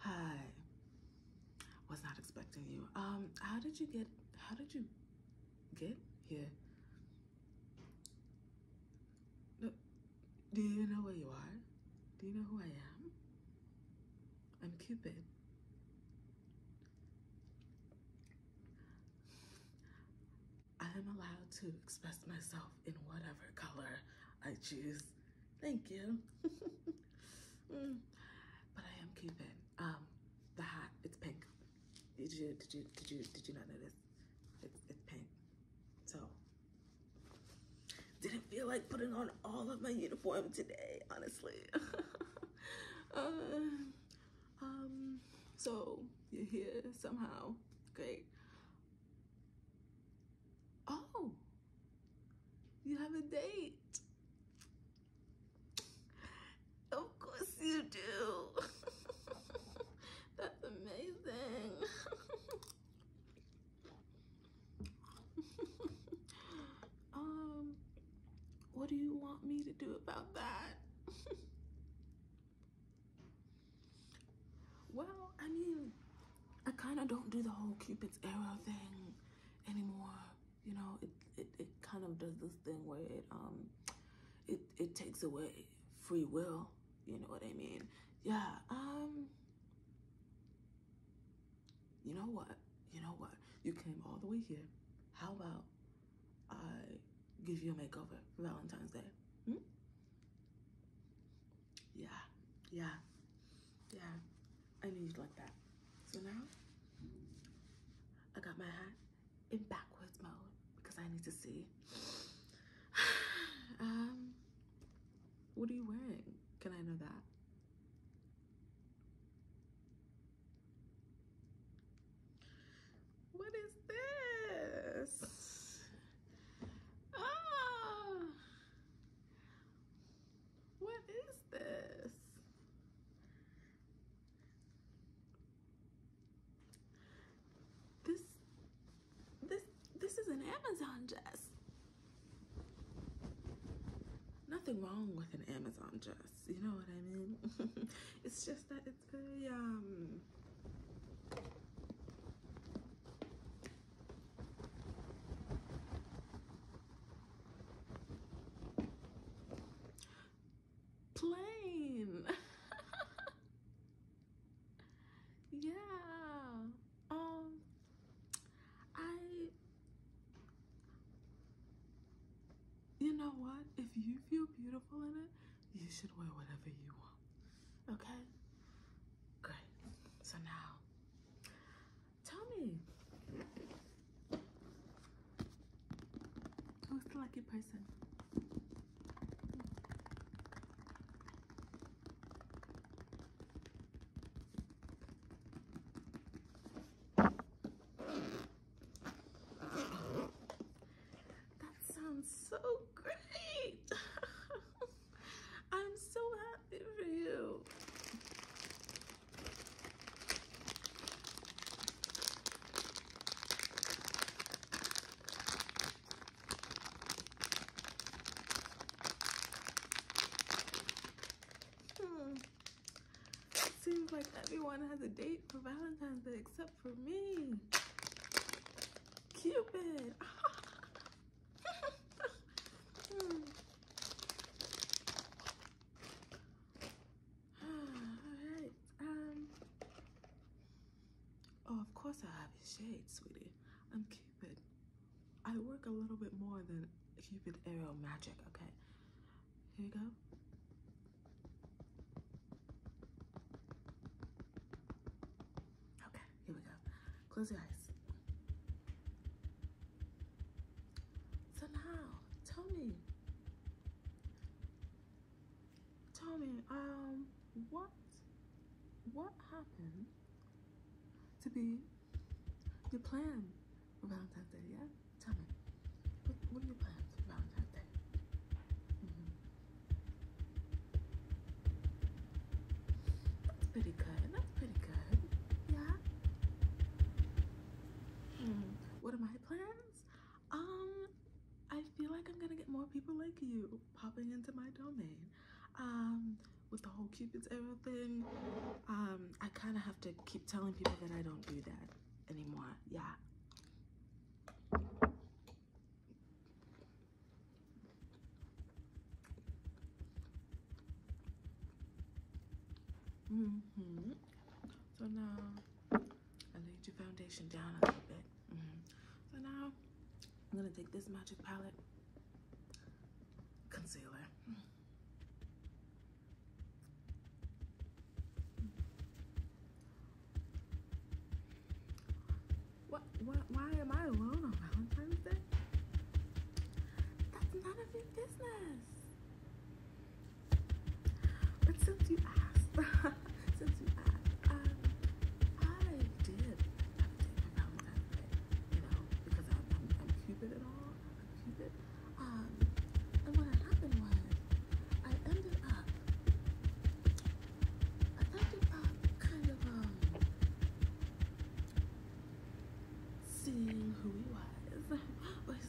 Hi. Was not expecting you. Um, how did you get how did you Get here. do you know where you are do you know who i am i'm cupid i am allowed to express myself in whatever color i choose thank you mm. but i am cupid um the hat it's pink did you did you did you did you not know this? It's, pink. So didn't feel like putting on all of my uniform today, honestly. uh, um, so you're here somehow. Great. Oh, you have a date. Of course you do. That's amazing. um, what do you want me to do about that? well, I mean, I kind of don't do the whole Cupid's arrow thing anymore you know, it, it, it kind of does this thing where it, um, it, it takes away free will. You know what I mean? Yeah. Um, you know what? You know what? You came all the way here. How about I give you a makeover for Valentine's Day? Hmm? Yeah. Yeah. Yeah. I need you like that. So now, I got my hat in backwards mode because I need to see. um, what are you wearing? Can I know that? What is this? Ah, what is this? This, this, this is an Amazon dress. Nothing wrong with an Amazon dress, you know what I mean? it's just that it's very, um, Plain. yeah. Um, I, you know what? If you feel beautiful in it, you should wear whatever you want. Okay? Great. So now, tell me. Who's the lucky person? That sounds so great! I'm so happy for you. Hmm. Seems like everyone has a date for Valentine's Day except for me. Cupid. Hmm. Alright. Um Oh of course I have his shade, sweetie. I'm Cupid. I work a little bit more than Cupid Arrow Magic, okay? Here you go. Okay, here we go. Close your eyes. So tell me, Tommy, um, what, what happened to be your plan about that Day? tell me, what, what are your plans for Day? Mm-hmm. That's pretty good. That's pretty good. Yeah. Mm. What are my plans? um, I feel like I'm gonna get more people like you popping into my domain. Um, with the whole Cupid's arrow thing, um, I kind of have to keep telling people that I don't do that anymore. Yeah. Mm-hmm. So now I laid your foundation down a little bit. Mm-hmm. So now I'm gonna take this magic palette concealer. Mm-hmm. What, what, why am I alone on Valentine's Day? That's none of your business. But since you asked, since you asked, um, I did everything I promised I you know, because I'm, I'm, I'm all. I'm Cupid. Um, and what happened was, I ended up, I ended up kind of, um, seeing who he was,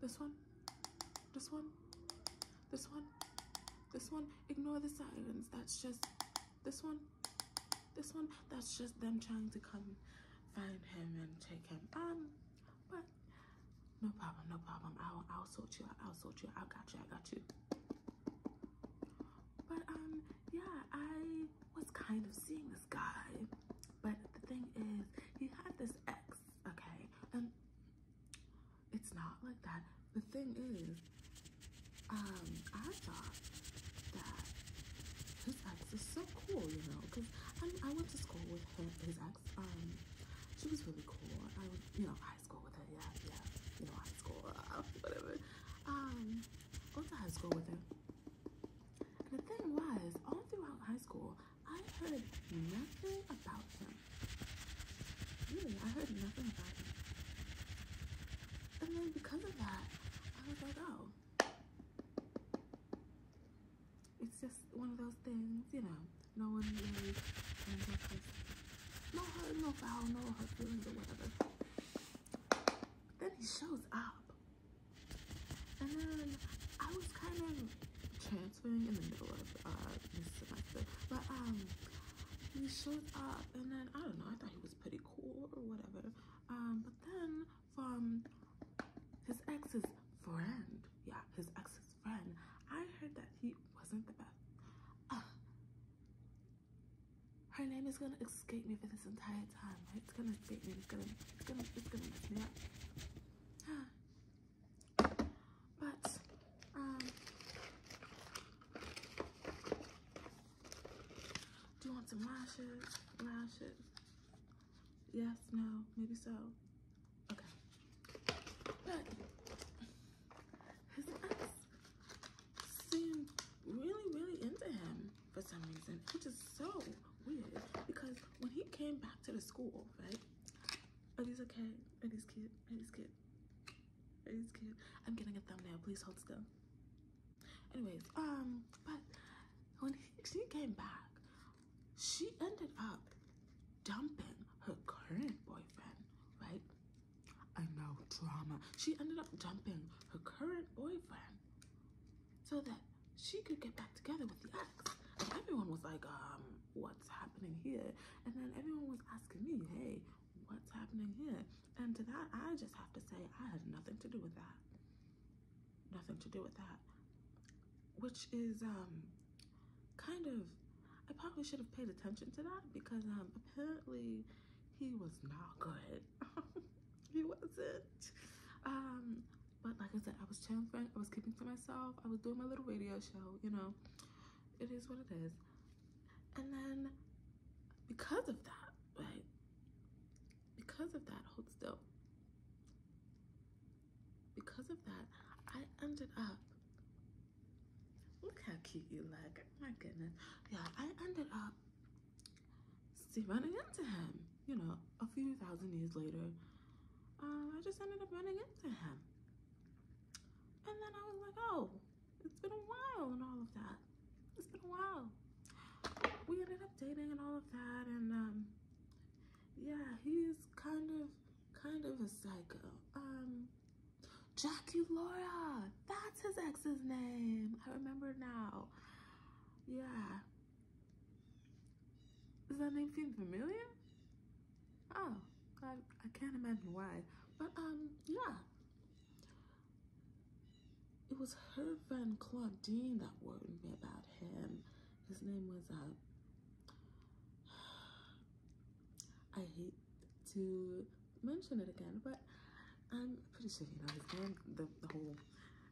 this one, this one, this one, this one. Ignore the sirens. That's just this one, this one. That's just them trying to come find him and take him. Um, but no problem, no problem. I'll I'll sort you I'll sort you out. I got you. I got you. But um, yeah, I was kind of seeing this guy, but the thing is, he had this ex, okay, and it's not like that. The thing is, um, I thought that his ex is so cool, you know, because I, I went to school with him, his ex. Um, she was really cool. I was, you know, high school with her, yeah, yeah, you know, high school, uh, whatever. Um, went to high school with her. the thing was, all throughout high school, I heard nothing about him. Really, I heard nothing about him. And then because of that, I was like, oh. It's just one of those things, you know, no one really no hurt, no foul, no hurt feelings or whatever. then he shows up. And then I was kind of chill transferring in the middle of uh, this But um, he showed up, and then I don't know. I thought he was pretty cool or whatever. Um, but then from his ex's friend, yeah, his ex's friend, I heard that he wasn't the best. Uh, her name is gonna escape me for this entire time. It's gonna escape me. It's gonna, it's gonna, it's gonna mess me up. But, um, do you want some lashes? Lashes? Yes, no, maybe so. Okay. But, his ex seemed really, really into him for some reason, which is so weird because when he came back to the school, right? Are these okay? Are these cute? Are these cute? Are these cute? I'm getting a thumbnail. Please hold still. Anyways, um, but when she came back, she ended up dumping her current boyfriend, right? I know, drama. She ended up dumping her current boyfriend so that she could get back together with the ex. everyone was like, um, what's happening here? And then everyone was asking me, hey, what's happening here? And to that, I just have to say, I had nothing to do with that. Nothing to do with that. Which is um, kind of, I probably should have paid attention to that because um, apparently he was not good. he wasn't. Um, but like I said, I was transferring, I was keeping to myself. I was doing my little radio show, you know. It is what it is. And then because of that, Because of that, hold still. Because of that, I ended up look how cute you look. My goodness. Yeah, I ended up see running into him, you know, a few thousand years later. Um, I just ended up running into him. And then I was like, oh, it's been a while and all of that. It's been a while. We ended up dating and all of that. And um, yeah, he's kind of, kind of a psycho. Um, Jackie Laura, that's his ex's name. I remember now. Yeah. Does that name seem familiar? Oh, I, can't imagine why. But, um, yeah. It was her Van Claudine that worried me about him. His name was, uh, I hate to mention it again, but I'm pretty sure you know his name. The, the whole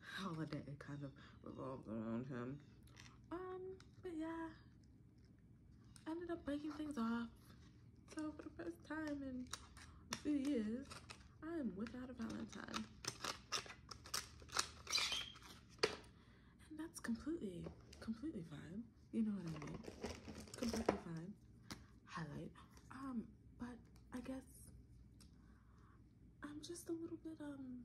holiday kind of revolved around him. Um, but yeah, I ended up breaking things off. So for the first time in a few years, I am without a Valentine. And that's completely, completely fine. You know what I mean? Completely fine. Highlight. Um, but I guess I'm just a little bit, um,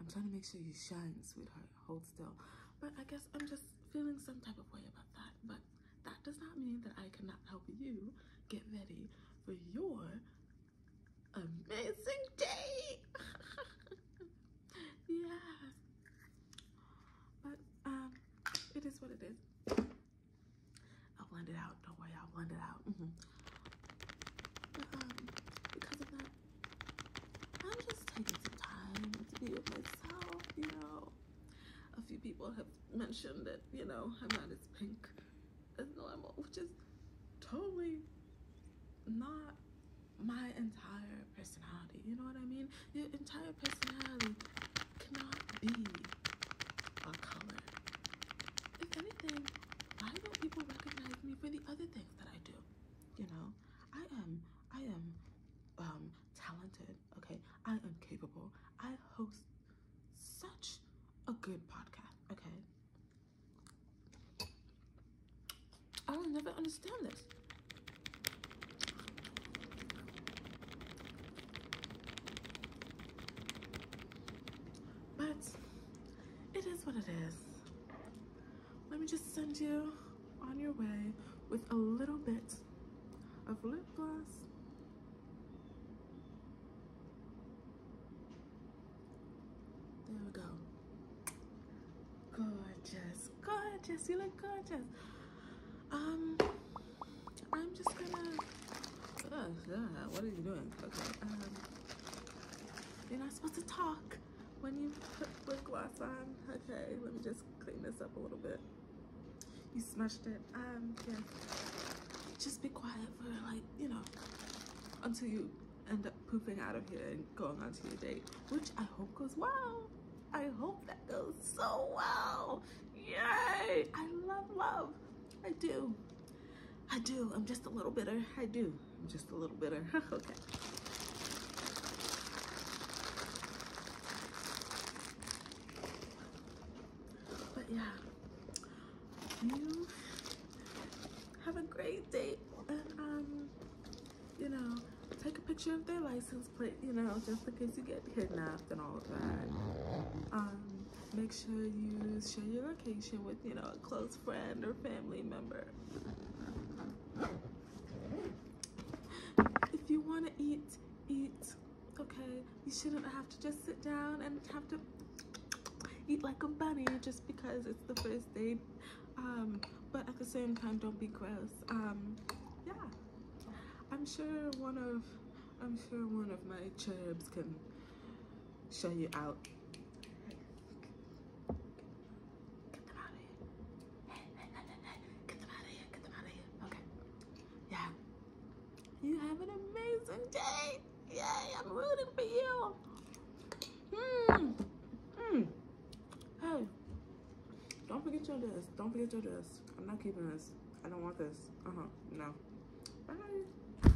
I'm trying to make sure you shine, sweetheart. Hold still. But I guess I'm just feeling some type of way about that. But that does not mean that I cannot help you get ready for your amazing day. yeah. But um, it is what it is. I'll blend it out. Don't worry, I'll blend it out. Mm-hmm because of that, I'm just taking some time to be with myself, you know. A few people have mentioned that, you know, I'm not as pink as normal, which is totally not my entire personality. You know what I mean? Your entire personality cannot be a color. If anything, why don't people recognize me for the other things that I do? You know, I am, I am um, talented, okay? I am capable. I host such a good podcast, okay? I will never understand this. But it is what it is. Let me just send you on your way with a little bit of lip gloss. There we go. Gorgeous, gorgeous, you look gorgeous. Um, I'm just gonna, oh, God, what are you doing? Okay, um, you're not supposed to talk when you put lip gloss on. Okay, let me just clean this up a little bit. You smashed it. Um, yeah. Just be quiet for like, you know, until you end up pooping out of here and going on to your date, which I hope goes well. I hope that goes so well. Yay! I love love. I do. I do. I'm just a little bitter. I do. I'm just a little bitter. okay. But yeah, you have a great day. And, um, you know, take a picture of their license plate, you know, just in case you get kidnapped and all of that. Um, make sure you share your location with, you know, a close friend or family member. If you want to eat, eat, okay? You shouldn't have to just sit down and have to eat like a bunny just because it's the first date. Um, but at the same time, don't be gross. Um, yeah, I'm sure one of I'm sure one of my cherubs can show you out. Get them out Hey, hey, hey, hey, Get them out Get them out Okay. Yeah. You have an amazing day. Yay, I'm rooting for you. Mmm. Mmm. Hey. Don't forget your dress. Don't forget your dress. I'm not keeping this. I don't want this. Uh-huh. No. Bye.